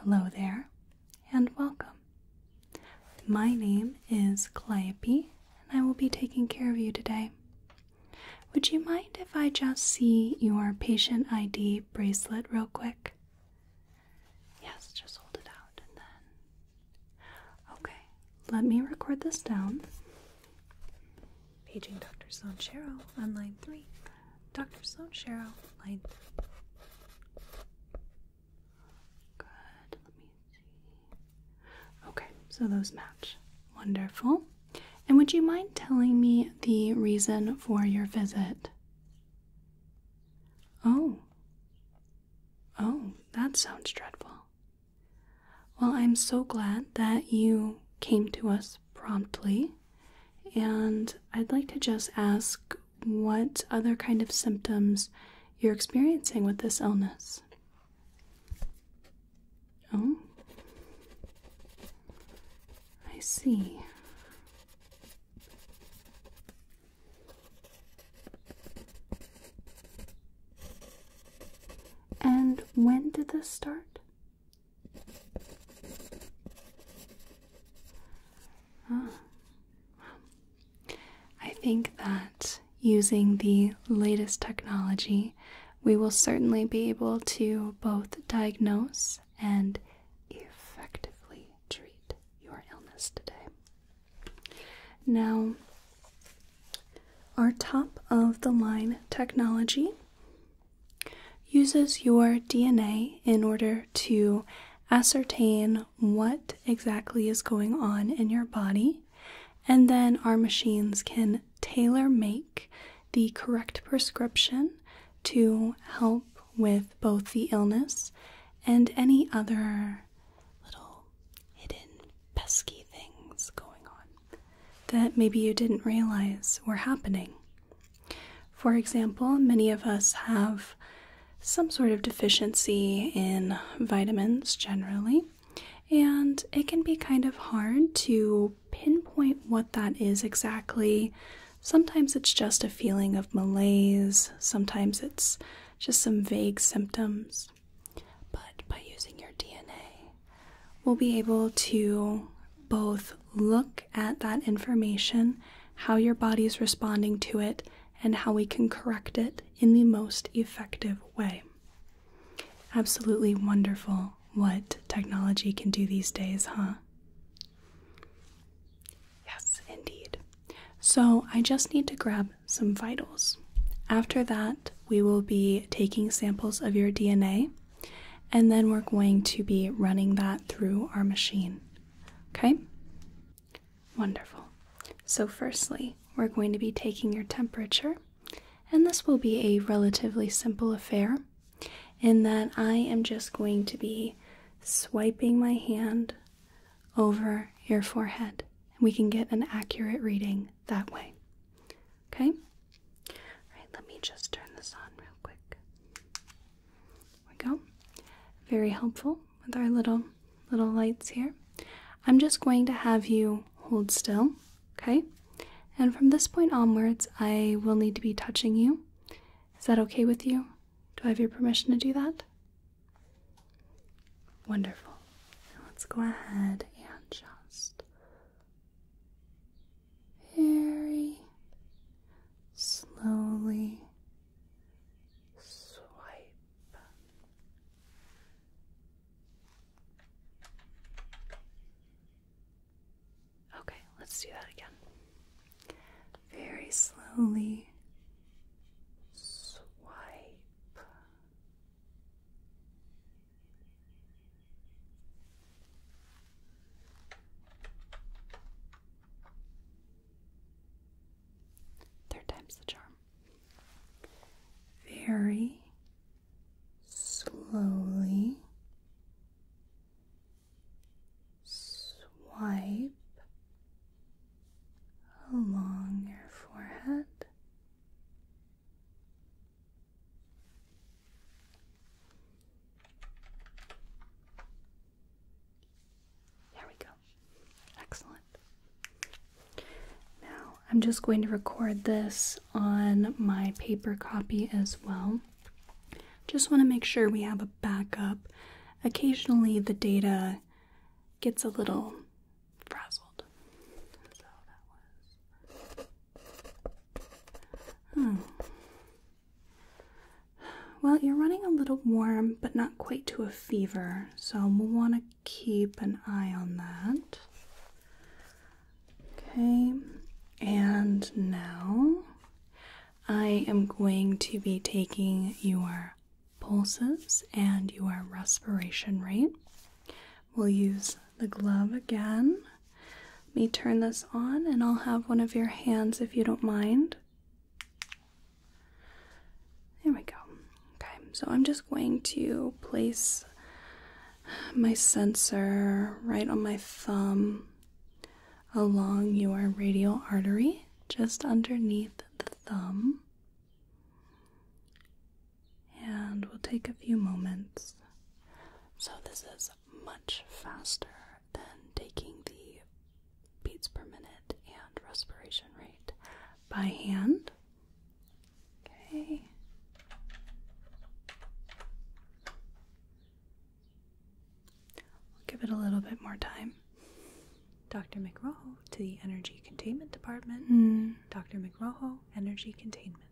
Hello there, and welcome. My name is Calliope, and I will be taking care of you today. Would you mind if I just see your patient ID bracelet real quick? Yes, just hold it out and then. Okay, let me record this down. Paging Dr. Sanchero on line three. Dr. Sloan Sherrill light. Good, let me see. Okay, so those match. Wonderful. And would you mind telling me the reason for your visit? Oh. Oh, that sounds dreadful. Well, I'm so glad that you came to us promptly. And I'd like to just ask what other kind of symptoms you're experiencing with this illness. Oh, I see. And when did this start? I think that using the latest technology, we will certainly be able to both diagnose and effectively treat your illness today. Now, our top of the line technology uses your DNA in order to ascertain what exactly is going on in your body, and then our machines can tailor make the correct prescription to help with both the illness and any other little hidden pesky things going on that maybe you didn't realize were happening for example, many of us have some sort of deficiency in vitamins generally, and it can be kind of hard to pinpoint what that is exactly. Sometimes it's just a feeling of malaise, sometimes it's just some vague symptoms. But by using your DNA, we'll be able to both look at that information, how your body is responding to it, and how we can correct it in the most effective way. Absolutely wonderful what technology can do these days, huh? Yes, indeed. So I just need to grab some vitals. After that, we will be taking samples of your DNA and then we're going to be running that through our machine. Okay? Wonderful. So, firstly, we're going to be taking your temperature, and this will be a relatively simple affair in that I am just going to be swiping my hand over your forehead. And we can get an accurate reading that way. Okay? All right, let me just turn this on real quick. There we go. Very helpful with our little little lights here. I'm just going to have you hold still, okay? And from this point onwards, I will need to be touching you. Is that okay with you? Do I have your permission to do that? Wonderful. let's go ahead and just very slowly swipe. Okay, let's do that again. Very slowly swipe. Third time's the charm. Very slowly swipe along your forehead. There we go. Excellent. Now I'm just going to record this on my paper copy as well. Just want to make sure we have a backup. Occasionally the data gets a little frazzled. Well, you're running a little warm, but not quite to a fever, so we'll want to keep an eye on that. Okay, and now I am going to be taking your pulses and your respiration rate. We'll use the glove again let me turn this on and I'll have one of your hands if you don't mind. There we go. Okay, so I'm just going to place my sensor right on my thumb along your radial artery, just underneath the thumb. And we'll take a few moments. So, this is much faster than taking the beats per minute and respiration rate by hand. Okay. will give it a little bit more time. Dr. McRoho to the Energy Containment Department. Hmm. Dr. McRoho, Energy Containment.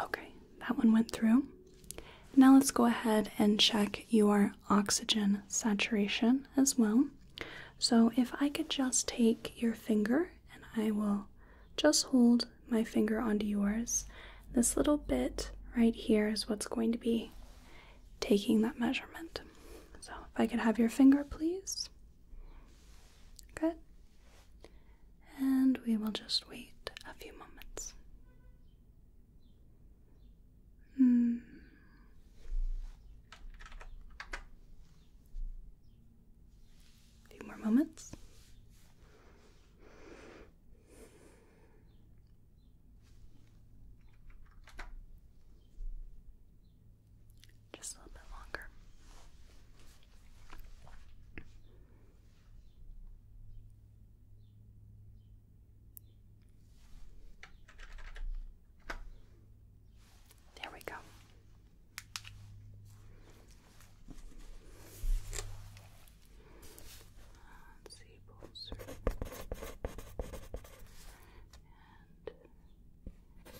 Okay, that one went through. Now let's go ahead and check your oxygen saturation as well. So if I could just take your finger and I will just hold my finger onto yours. This little bit right here is what's going to be taking that measurement. So if I could have your finger, please. Good. And we will just wait a few moments. Hmm. few more moments. Just a little bit longer. There we go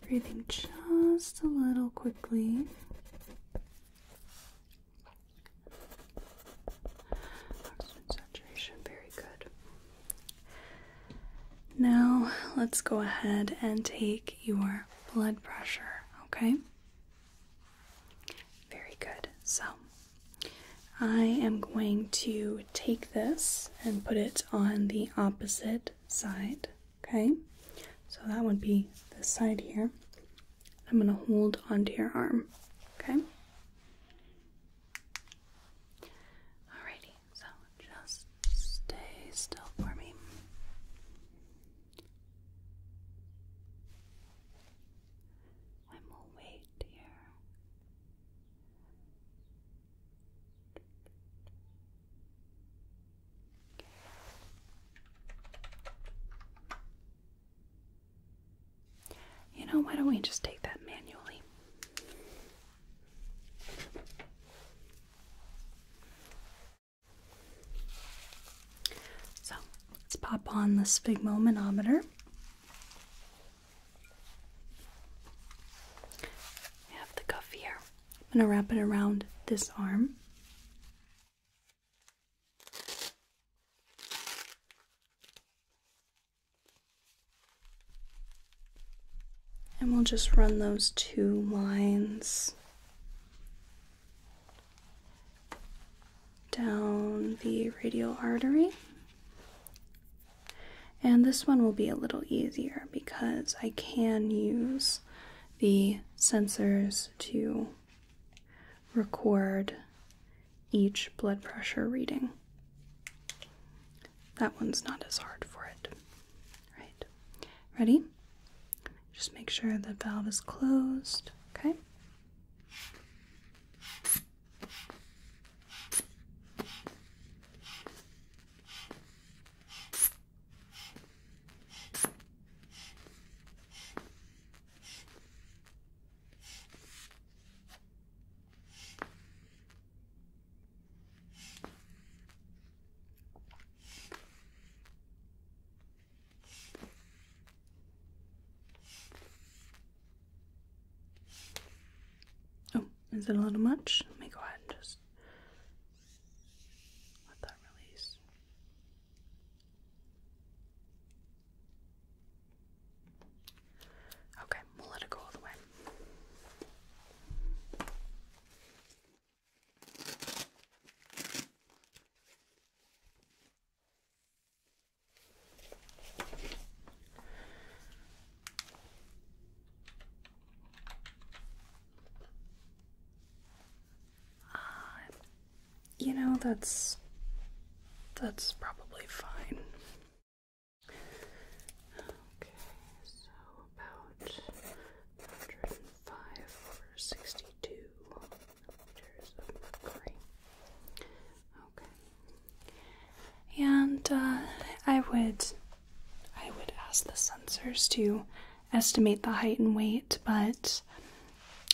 breathing just a little quickly. Oxygen saturation, very good. Now let's go ahead and take your blood pressure, okay? Very good. So I am going to take this and put it on the opposite side. Okay, so that would be this side here. I'm going to hold onto your arm. Okay. Alrighty, so just stay still for me. I will wait here. You know, why don't we just take that manually? So let's pop on the sphygmomanometer. We have the cuff here. I'm going to wrap it around this arm. And we'll just run those two lines down the radial artery. And this one will be a little easier because I can use the sensors to record each blood pressure reading. That one's not as hard for it. Right. Ready? Just make sure the valve is closed, okay? Oh, is it a little much? Let me go ahead and just let that release. Okay, we'll let it go all the way. Uh, you know, that's. that's probably fine. Okay, so about 105 over 62 meters of mercury. Okay. And uh, I would I would ask the sensors to estimate the height and weight, but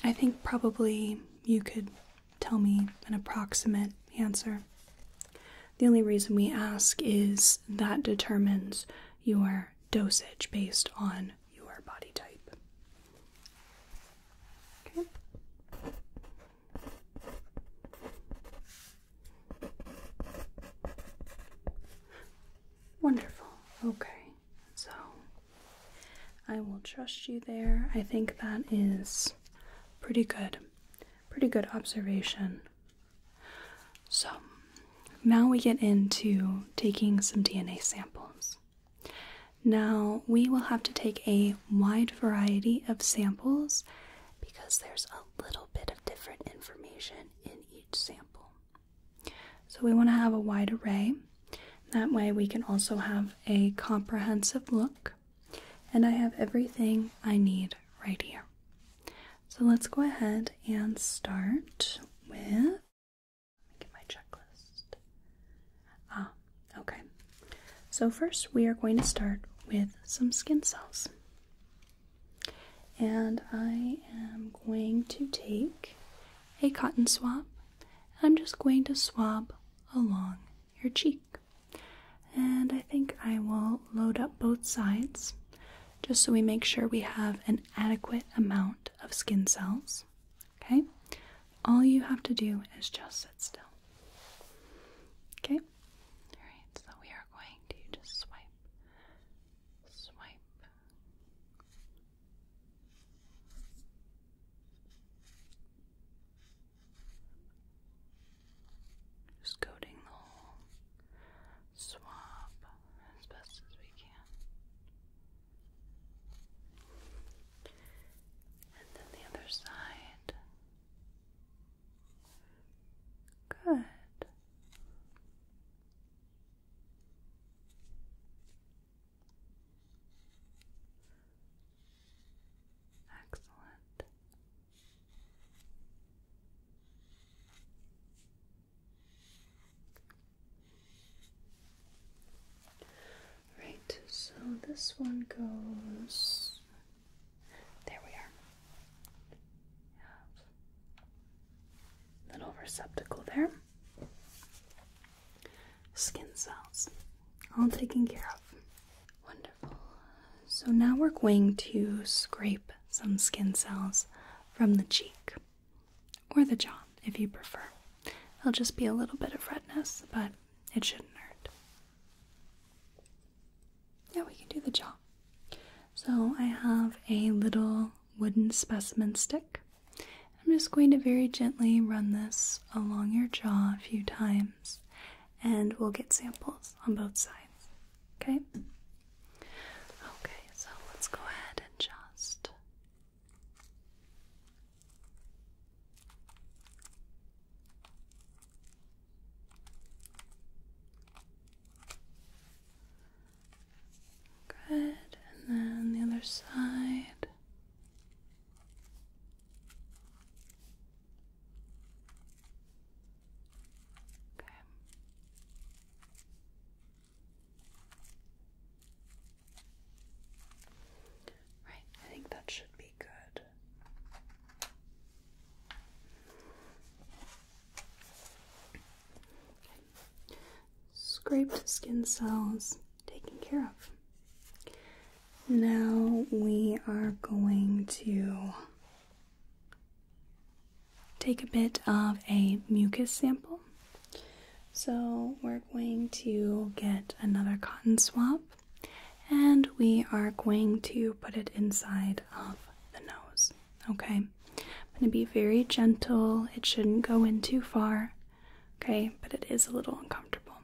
I think probably you could tell me an approximate answer. The only reason we ask is that determines your dosage based on your body type. Okay. Wonderful. Okay. So I will trust you there. I think that is pretty good. Pretty good observation. So now we get into taking some DNA samples. Now we will have to take a wide variety of samples because there's a little bit of different information in each sample. So we want to have a wide array. That way we can also have a comprehensive look. And I have everything I need right here. So let's go ahead and start with get my checklist. Ah, okay. So first we are going to start with some skin cells. And I am going to take a cotton swab. I'm just going to swab along your cheek. And I think I will load up both sides just so we make sure we have an adequate amount of skin cells. Okay? All you have to do is just sit still. Okay? Alright, so we are going to just swipe, swipe. Just coating the whole swab as best as we can. And then the other side. Good. Excellent. Right, so this one goes. There we are. Little receptacle there. Skin cells, all taken care of. Wonderful. So now we're going to scrape some skin cells from the cheek or the jaw if you prefer. It'll just be a little bit of redness, but it shouldn't hurt. Yeah, we can do the jaw. So I have a little wooden specimen stick. I'm just going to very gently run this along your jaw a few times and we'll get samples on both sides. Okay? Okay, so let's go ahead and just Good, and then the other side. Okay. Right, I think that should be good. Scraped skin cells taken care of. Now we are going to take a bit of a mucus sample. So we're going to get another cotton swab and we are going to put it inside of the nose. Okay, I'm going to be very gentle. It shouldn't go in too far. Okay, but it is a little uncomfortable.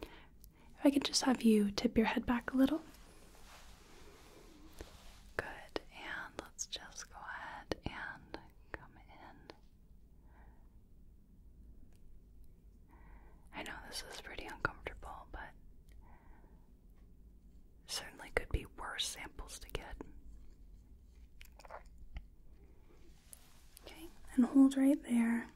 If I could just have you tip your head back a little. Good, and let's just go ahead and come in. I know this is pretty uncomfortable, but Certainly could be worse samples to get. Okay, and hold right there.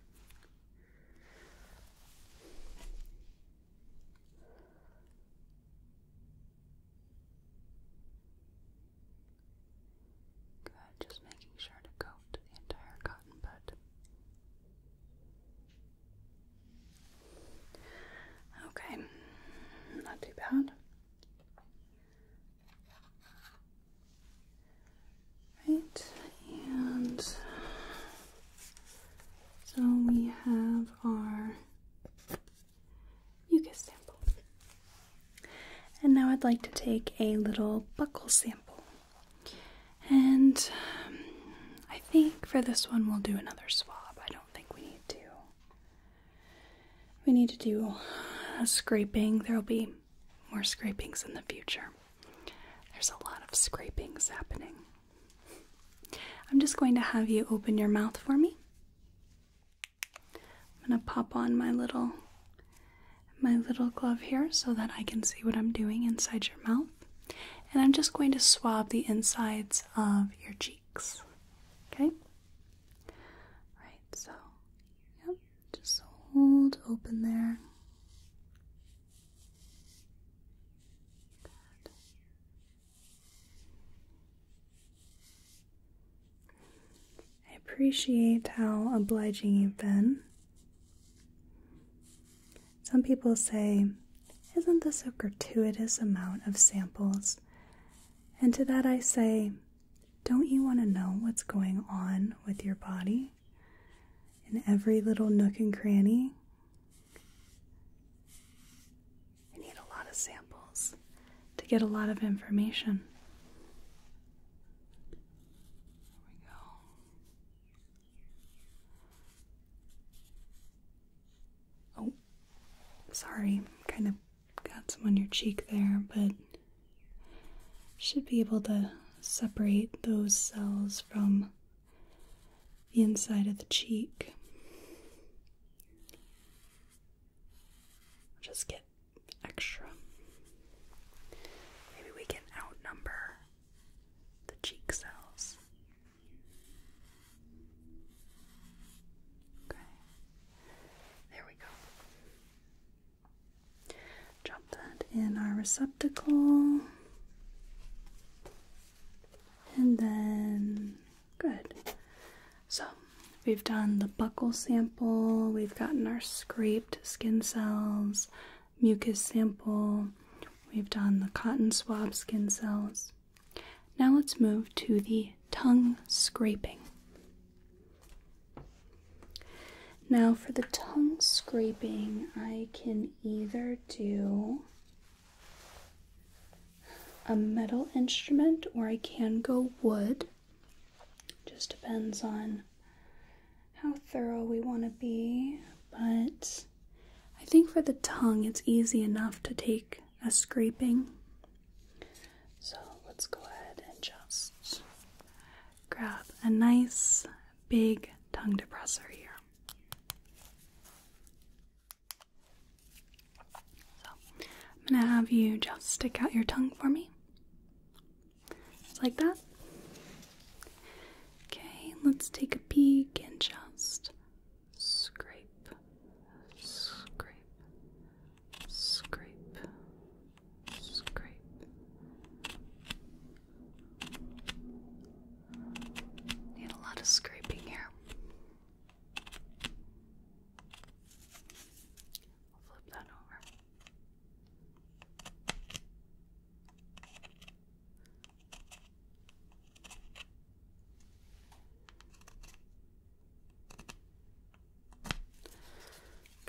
Good, just making sure to coat the entire cotton bud. Okay, not too bad. Right, and so we have our mucus sample. And now I'd like to take a little buckle sample. And um, I think for this one we'll do another swab. I think we need to. We need to do scraping. There'll be more scrapings in the future. There's a lot of scrapings happening. I'm just going to have you open your mouth for me. I'm going to pop on my little my little glove here so that I can see what I'm doing inside your mouth and I'm just going to swab the insides of your cheeks. Okay? Right, so, yep, just hold open there. I appreciate how obliging you've been. Some people say, Isn't this a gratuitous amount of samples? And to that I say, Don't you want to know what's going on with your body? In every little nook and cranny? You need a lot of samples to get a lot of information. There we go. Oh, sorry, kind of got some on your cheek there, but should be able to separate those cells from the inside of the cheek. Just get extra. Maybe we can outnumber the cheek cells. Okay. There we go. Drop that in our receptacle. And then, good. So, we've done the buckle sample, we've gotten our scraped skin cells, mucus sample, we've done the cotton swab skin cells. Now let's move to the tongue scraping. Now, for the tongue scraping, I can either do a metal instrument or I can go wood. Just depends on how thorough we want to be, but I think for the tongue, it's easy enough to take a scraping. So let's go ahead and just grab a nice big tongue depressor here. So I'm going to have you just stick out your tongue for me. Just like that. Okay, let's take a peek and just scrape, scrape, scrape, scrape. Need a lot of scraping here. flip that over.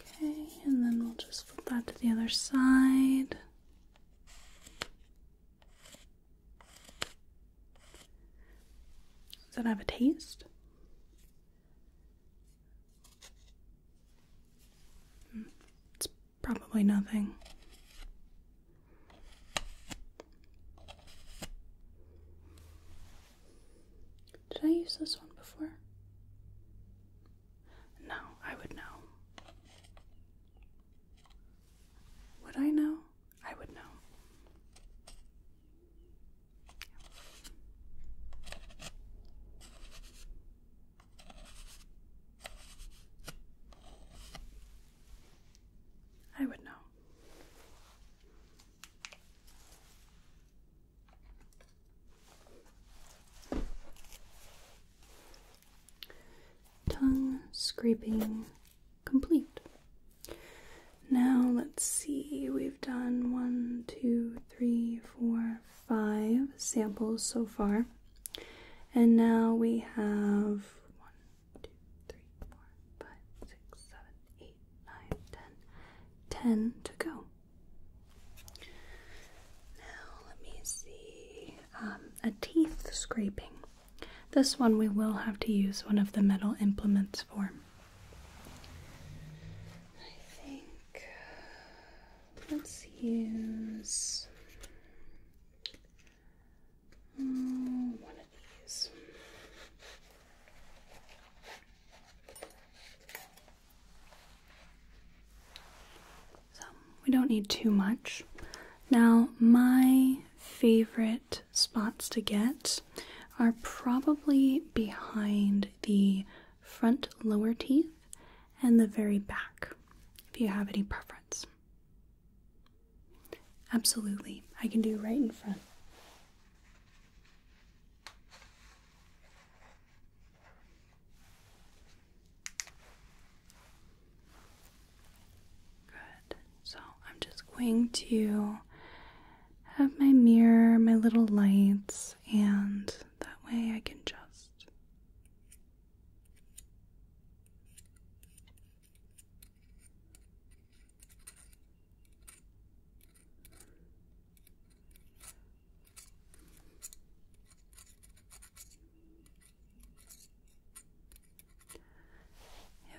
Okay, and then we'll just flip that to the other side. Does that have a taste? Hmm, probably nothing. Did I use this one before? No, I would know. Would I know? I would know. I would know. Tongue scraping complete. Now let's see, we've done one, two, three, four, five samples so far. And now we have one, two, three, four, five, six, seven, eight, nine, ten. Ten to go. Now let me see um, a teeth scraping. This one we will have to use one of the metal implements for. I think let's use Mm, we don't need too much. Now, my favorite spots to get are probably behind the front lower teeth and the very back, if you have any preference. Absolutely. I can do right in front. Good. So I'm just going to have my mirror, my little lights, and that way I can just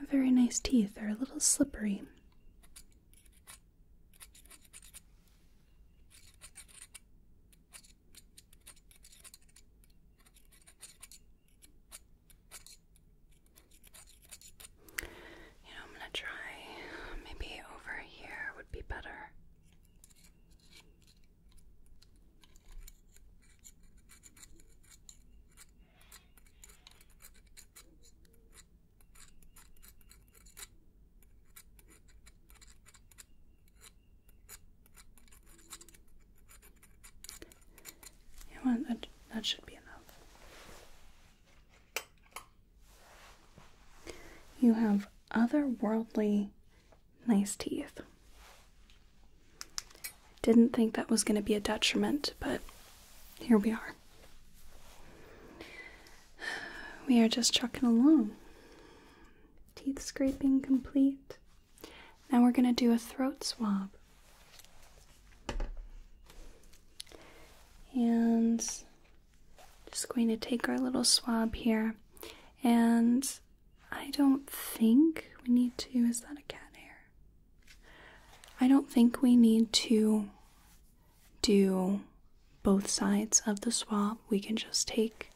you very nice teeth. They're a little slippery. You know, I'm gonna try maybe over here would be better. You That, should be enough. You have otherworldly nice teeth. Didn't think that was going to be a detriment, but here we are. We are just trucking along. Teeth scraping complete. Now we're going to do a throat swab. And just going to take our little swab here. And I don't think we need to. Is that a cat hair? I don't think we need to do both sides of the swab. We can just take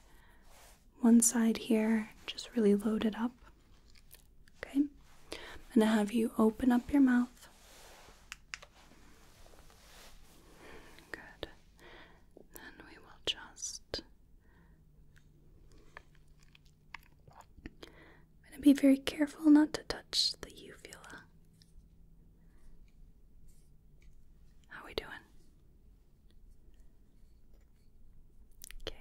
one side here, just really load it up. Okay, I'm gonna have you open up your mouth. Good. Then we will just. I'm gonna be very careful not to touch the uvula. How are we doing? Okay.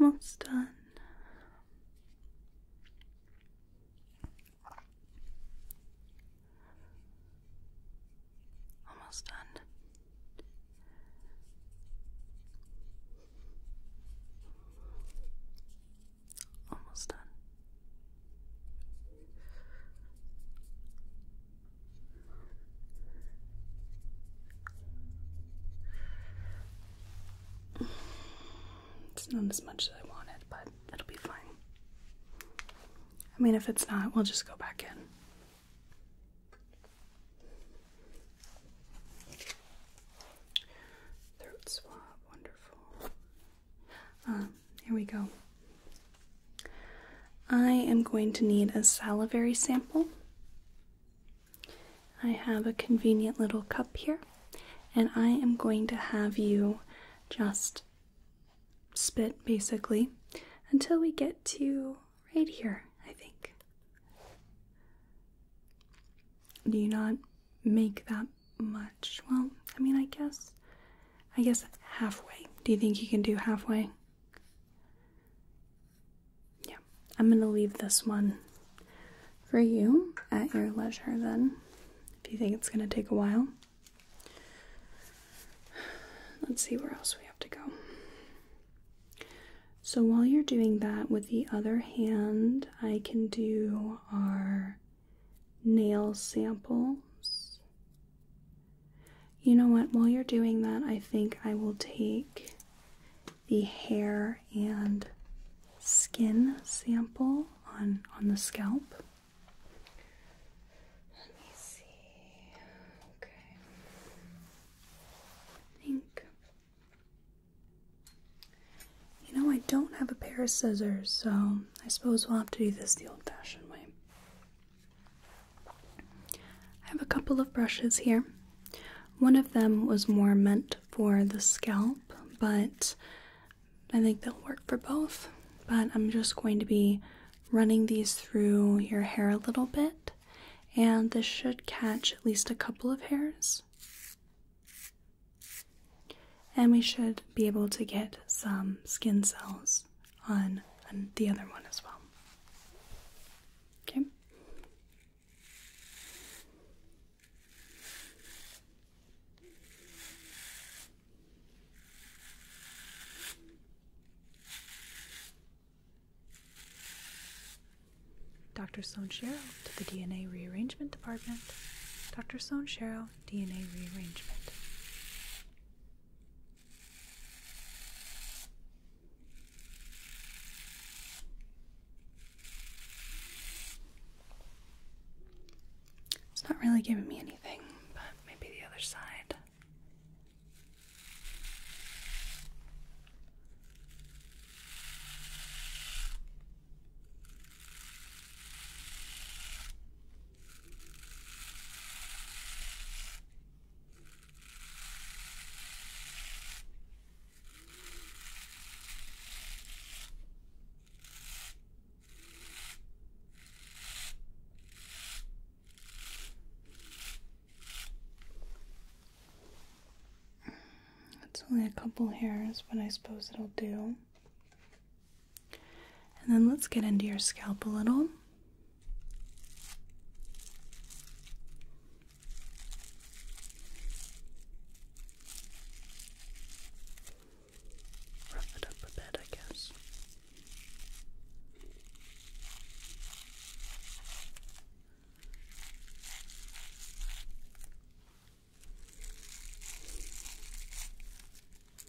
Almost done. Almost done. Almost done. It's not as much as I wanted, but it'll be fine. I mean, if it's not, we'll just go back in. Throat swab, wonderful. Uh, here we go. I am going to need a salivary sample. I have a convenient little cup here, and I am going to have you just spit basically until we get to right here, I think. Do you not make that much? Well, I mean, I guess I guess halfway. Do you think you can do halfway? Yeah, I'm going to leave this one for you at your leisure then, if you think it's going to take a while. Let's see where else we have to go. So while you're doing that with the other hand, I can do our nail samples. You know what? While you're doing that, I think I will take the hair and skin sample on on the scalp. Let me see. Okay. think you know I don't have a pair of scissors, so I suppose we'll have to do this the old-fashioned way. I have a couple of brushes here. One of them was more meant for the scalp, but I think they'll work for both. But I'm just going to be running these through your hair a little bit, and this should catch at least a couple of hairs. And we should be able to get some skin cells circles on, the other one as well. Okay. Dr. Sloan to the DNA Rearrangement Department. Dr. Sloan DNA Rearrangement. It's not really giving me anything, but maybe the other side. It's only a couple hairs, but I suppose it'll do. And then let's get into your scalp a little. Rough it up a bit, I guess.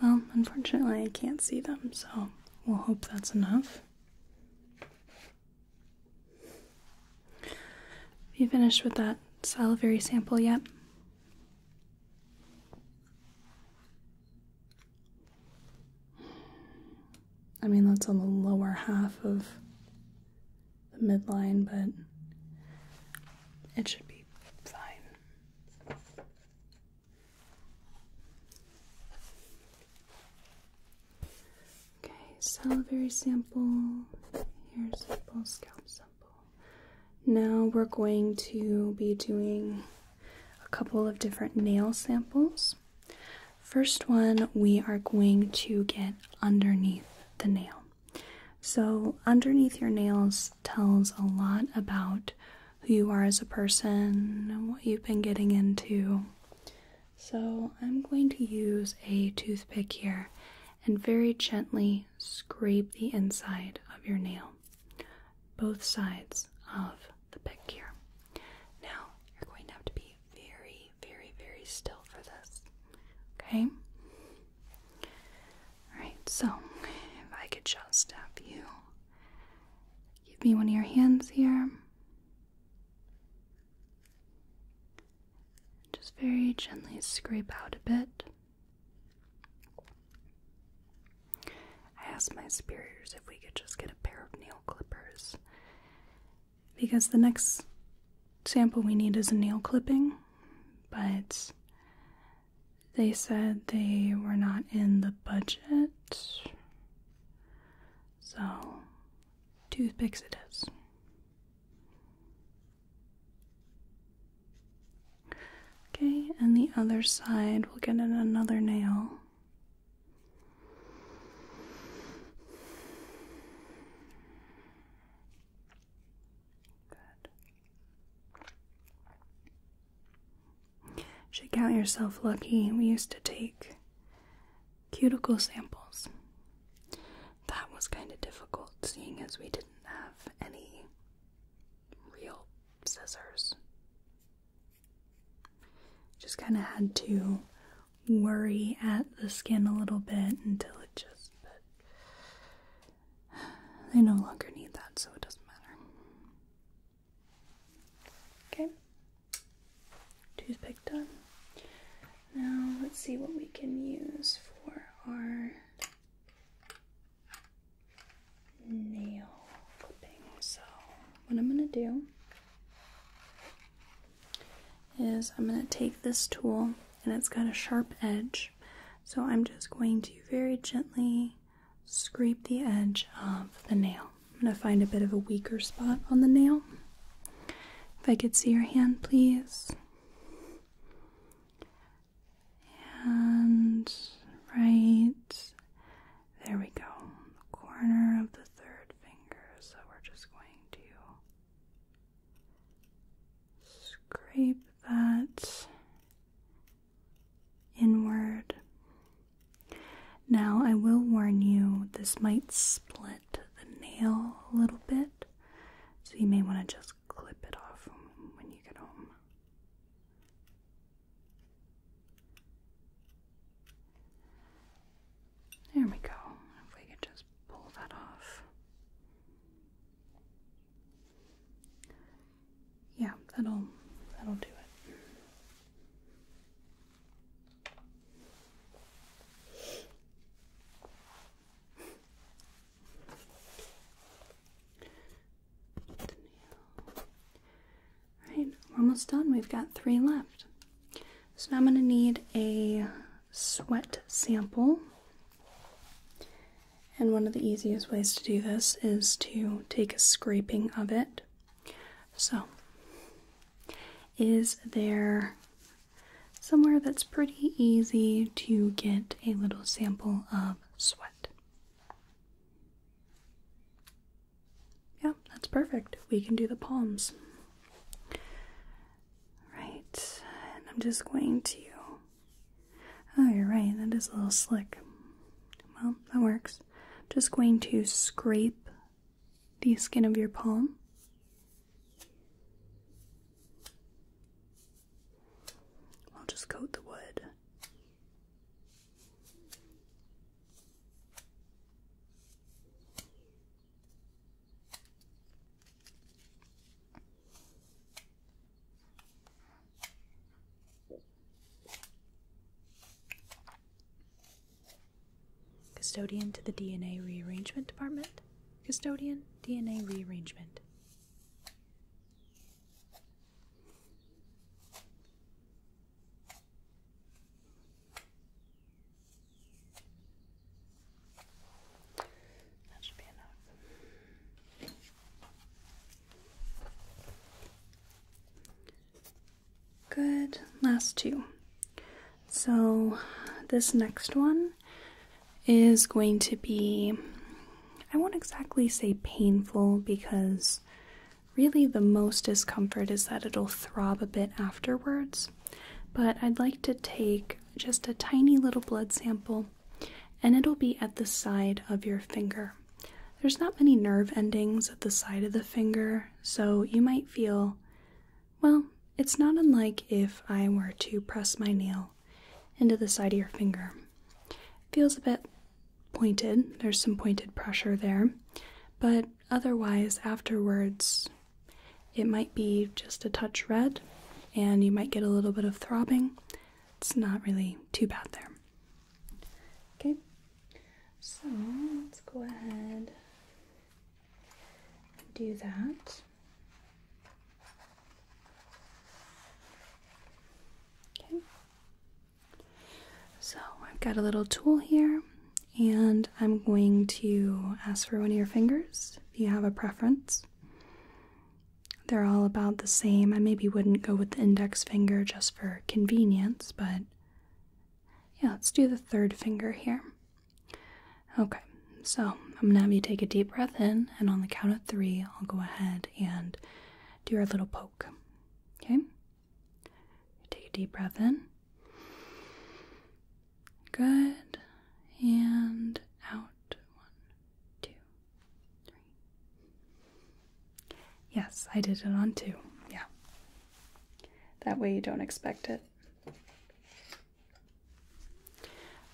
Well, unfortunately, I can't see them, so we'll hope that's enough. Have you finished with that salivary sample yet? I mean, that's on the lower half of the midline, but it should be fine. Okay, salivary sample. Here's a sample, scalp sample. Now we're going to be doing a couple of different nail samples. First one, we are going to get underneath the nail. So, underneath your nails tells a lot about who you are as a person and what you've been getting into. So, I'm going to use a toothpick here and very gently scrape the inside of your nail, both sides of the pick here. Now, you're going to have to be very, very, very still for this. Okay? Alright, so if I could just have you Give me one of your hands here. Just very gently scrape out a bit. I asked my superiors if we could just get a pair of nail clippers because the next sample we need is a nail clipping, but they said they were not in the budget. So, toothpicks it is. Okay, and the other side, we'll get in another nail. Good. Should count yourself lucky. We used to take cuticle samples. That was kind of difficult, seeing as we didn't have any real scissors. Just kind of had to worry at the skin a little bit until it just. They no longer need that, so it doesn't matter. Okay. Toothpick done. Now let's see what we can use for our nail clipping. So, what I'm going to do is I'm going to take this tool and it's got a sharp edge. So I'm just going to very gently scrape the edge of the nail. I'm going to find a bit of a weaker spot on the nail. If I could see your hand, please. And right there we go. The corner of the third finger. So we're just going to scrape that inward. Now, I will warn you, this might split the nail a little bit, so you may want to just clip it off when you get home. There we go. If we could just pull that off yeah, that'll that'll do it. Alright, we're almost done. We've got three left. So now I'm going to need a sweat sample and one of the easiest ways to do this is to take a scraping of it. So, is there somewhere that's pretty easy to get a little sample of sweat? Yeah, that's perfect. We can do the palms. Right, and I'm just going to Oh, you're right, that is a little slick. Well, that works. just going to scrape the skin of your palm. I'll just coat the wood. Custodian to the DNA rearrangement department. Custodian, DNA rearrangement. That should be enough. Good. Last two. So, this next one is going to be, I won't exactly say painful because really the most discomfort is that it'll throb a bit afterwards. But I'd like to take just a tiny little blood sample and it'll be at the side of your finger. There's not many nerve endings at the side of the finger, so you might feel, well, it's not unlike if I were to press my nail into the side of your finger. It feels a bit pointed, there's some pointed pressure there, but otherwise, afterwards, it might be just a touch red and you might get a little bit of throbbing. It's not really too bad there. Okay, so let's go ahead and do that. Okay, so I've got a little tool here, and I'm going to ask for one of your fingers if you have a preference. They're all about the same. I maybe wouldn't go with the index finger just for convenience, but yeah, let's do the third finger here. Okay, so I'm gonna have you take a deep breath in, and on the count of three, I'll go ahead and do our little poke. Okay? Take a deep breath in. Good. And out. One, two, three. Yes, I did it on two. Yeah. That way you don't expect it.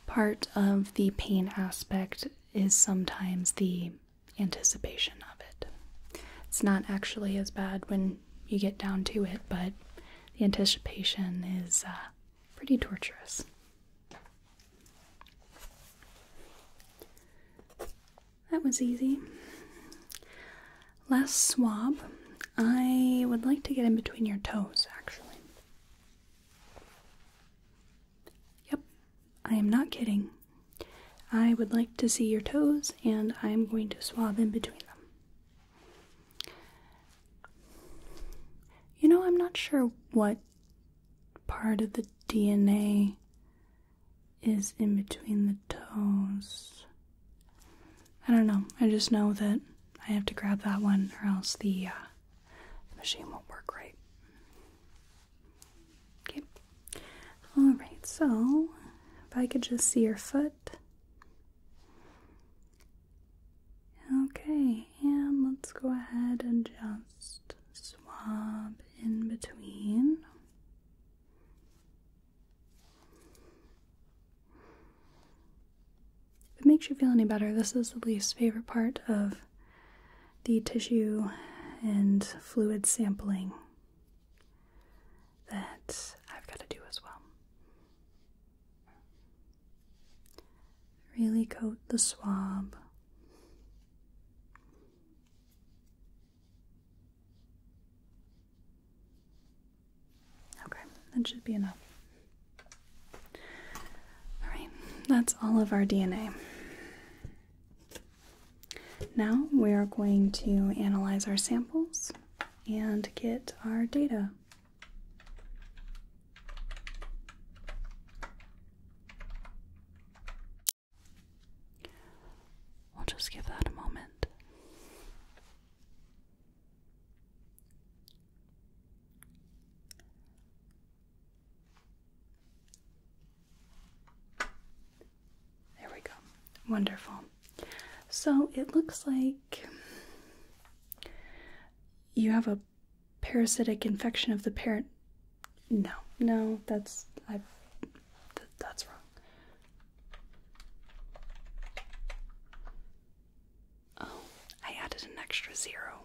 Part of the pain aspect is sometimes the anticipation of it. It's not actually as bad when you get down to it, but the anticipation is uh, pretty torturous. That was easy. Last swab. I would like to get in between your toes, actually. Yep, I am not kidding. I would like to see your toes, and I am going to swab in between them. You know, I'm not sure what part of the DNA is in between the toes. I don't know. I just know that I have to grab that one or else uh, the, machine won't work right. Okay. Alright, so if I could just see your foot. Okay, and let's go ahead and just swab in between. If it makes you feel any better, this is the least favorite part of the tissue and fluid sampling that I've got to do as well. Really coat the swab Okay, that should be enough. Alright, that's all of our DNA. Now we are going to analyze our samples and get our data. We'll just give that a moment. There we go. Wonderful. So it looks like you have a parasitic infection of the parent. No, no, that's I. that's wrong. Oh, I added an extra zero.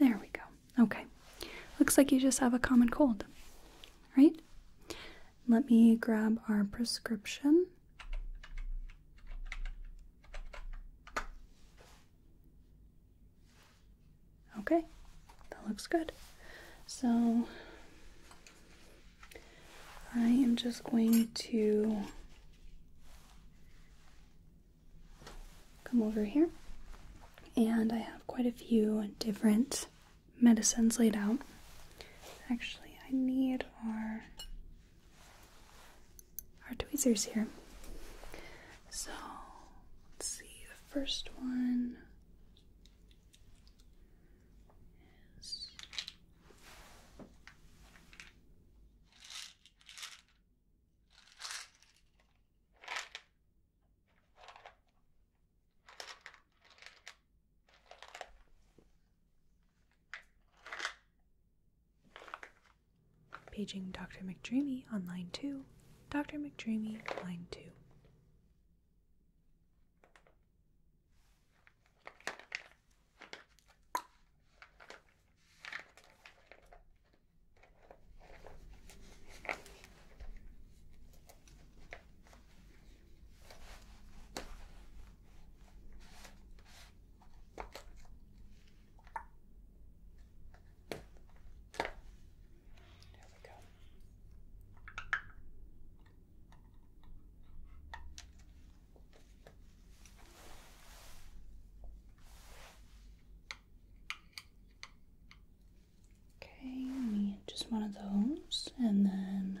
There we go. Okay. Looks like you just have a common cold, right? Let me grab our prescription. Okay, that looks good. So I am just going to come over here, and I have quite a few different medicines laid out. Actually, I need our tweezers here. So let's see the first one is Paging Dr. McDreamy on line 2, Dr. McDreamy, line 2. There we go. Okay, we just one of those and then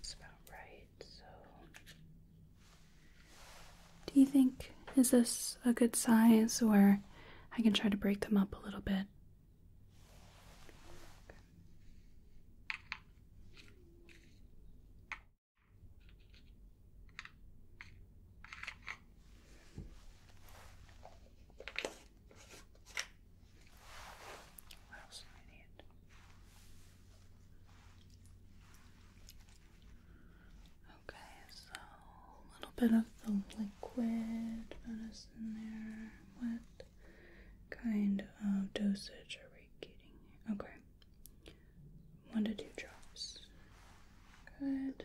It's about right, so. Do you think, is this a good size or I can try to break them up a little bit? What else do I need? Okay, so a little bit of the liquid medicine there. What kind of dosage are we getting? Okay. One to two drops. Good.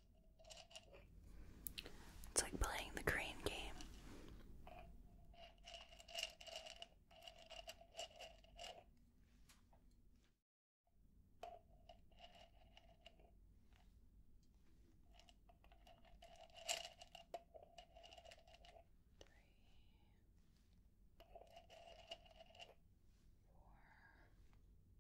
It's like playing the crane game. Three, four,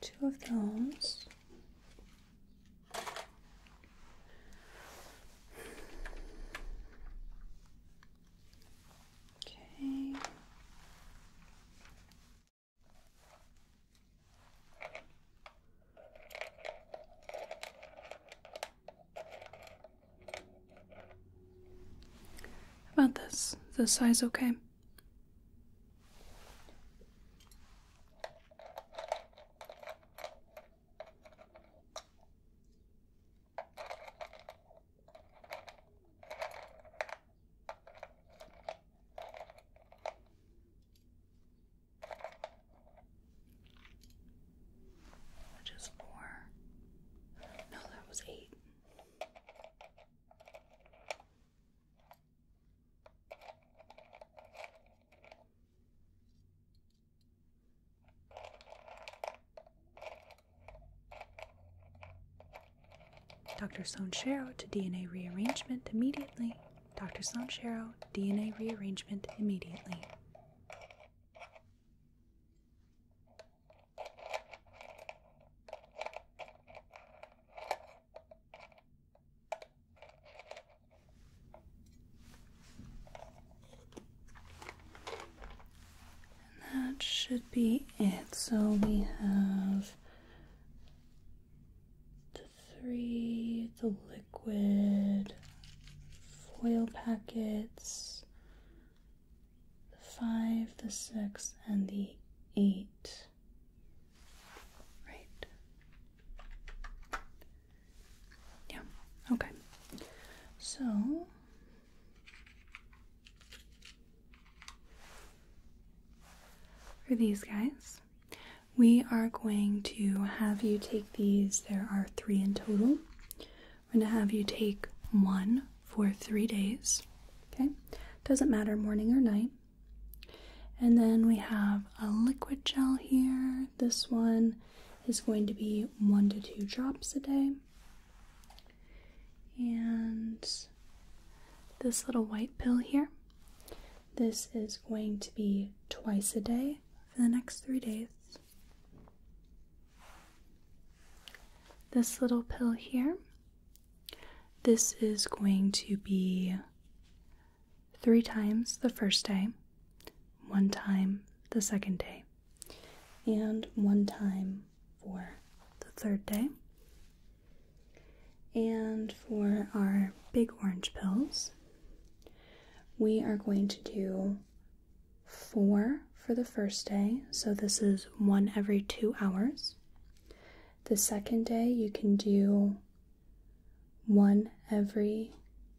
Two of those. Okay about this? The size okay? Which four. No, that was eight. Dr. Stone Shero to DNA rearrangement immediately Dr. Sanchero, DNA rearrangement immediately. that should be it. So we have three, the liquid, foil packets, the five, the six, and the eight. Right? Yeah, okay. So. For these guys, we are going to have you take these. There are three in total. We're going to have you take one for three days. Okay? Doesn't matter morning or night. And then we have a liquid gel here. This one is going to be one to two drops a day. And this little white pill here this is going to be twice a day for the next three days. This little pill here, this is going to be three times the first day, one time the second day, and one time for the third day. And for our big orange pills, we are going to do four for the first day. So this is one every two hours. The second day, you can do one every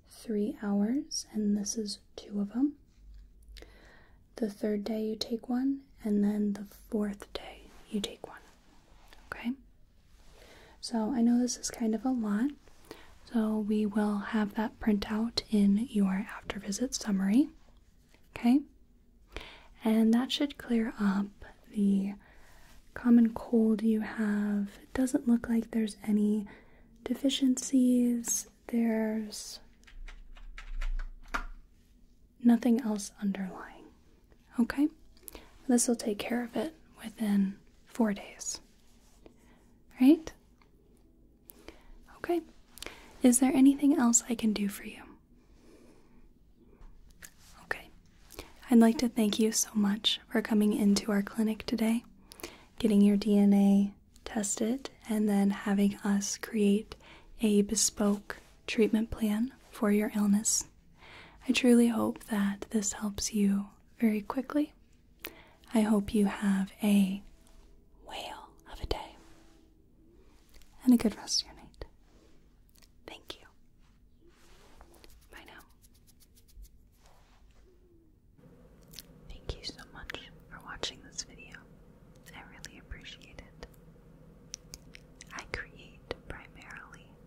three hours, and this is two of them. The third day, you take one, and then the fourth day, you take one. Okay? So I know this is kind of a lot, so we will have that print out in your after visit summary. Okay? And that should clear up the common cold you have. It doesn't look like there's any deficiencies. There's nothing else underlying. Okay? This will take care of it within four days. Right? Okay. Is there anything else I can do for you? Okay. I'd like to thank you so much for coming into our clinic today, getting your DNA tested, and then having us create a bespoke treatment plan for your illness. I truly hope that this helps you very quickly. I hope you have a whale of a day and a good rest of your night. Thank you. Bye now. Thank you so much for watching this video. I really appreciate it. I create primarily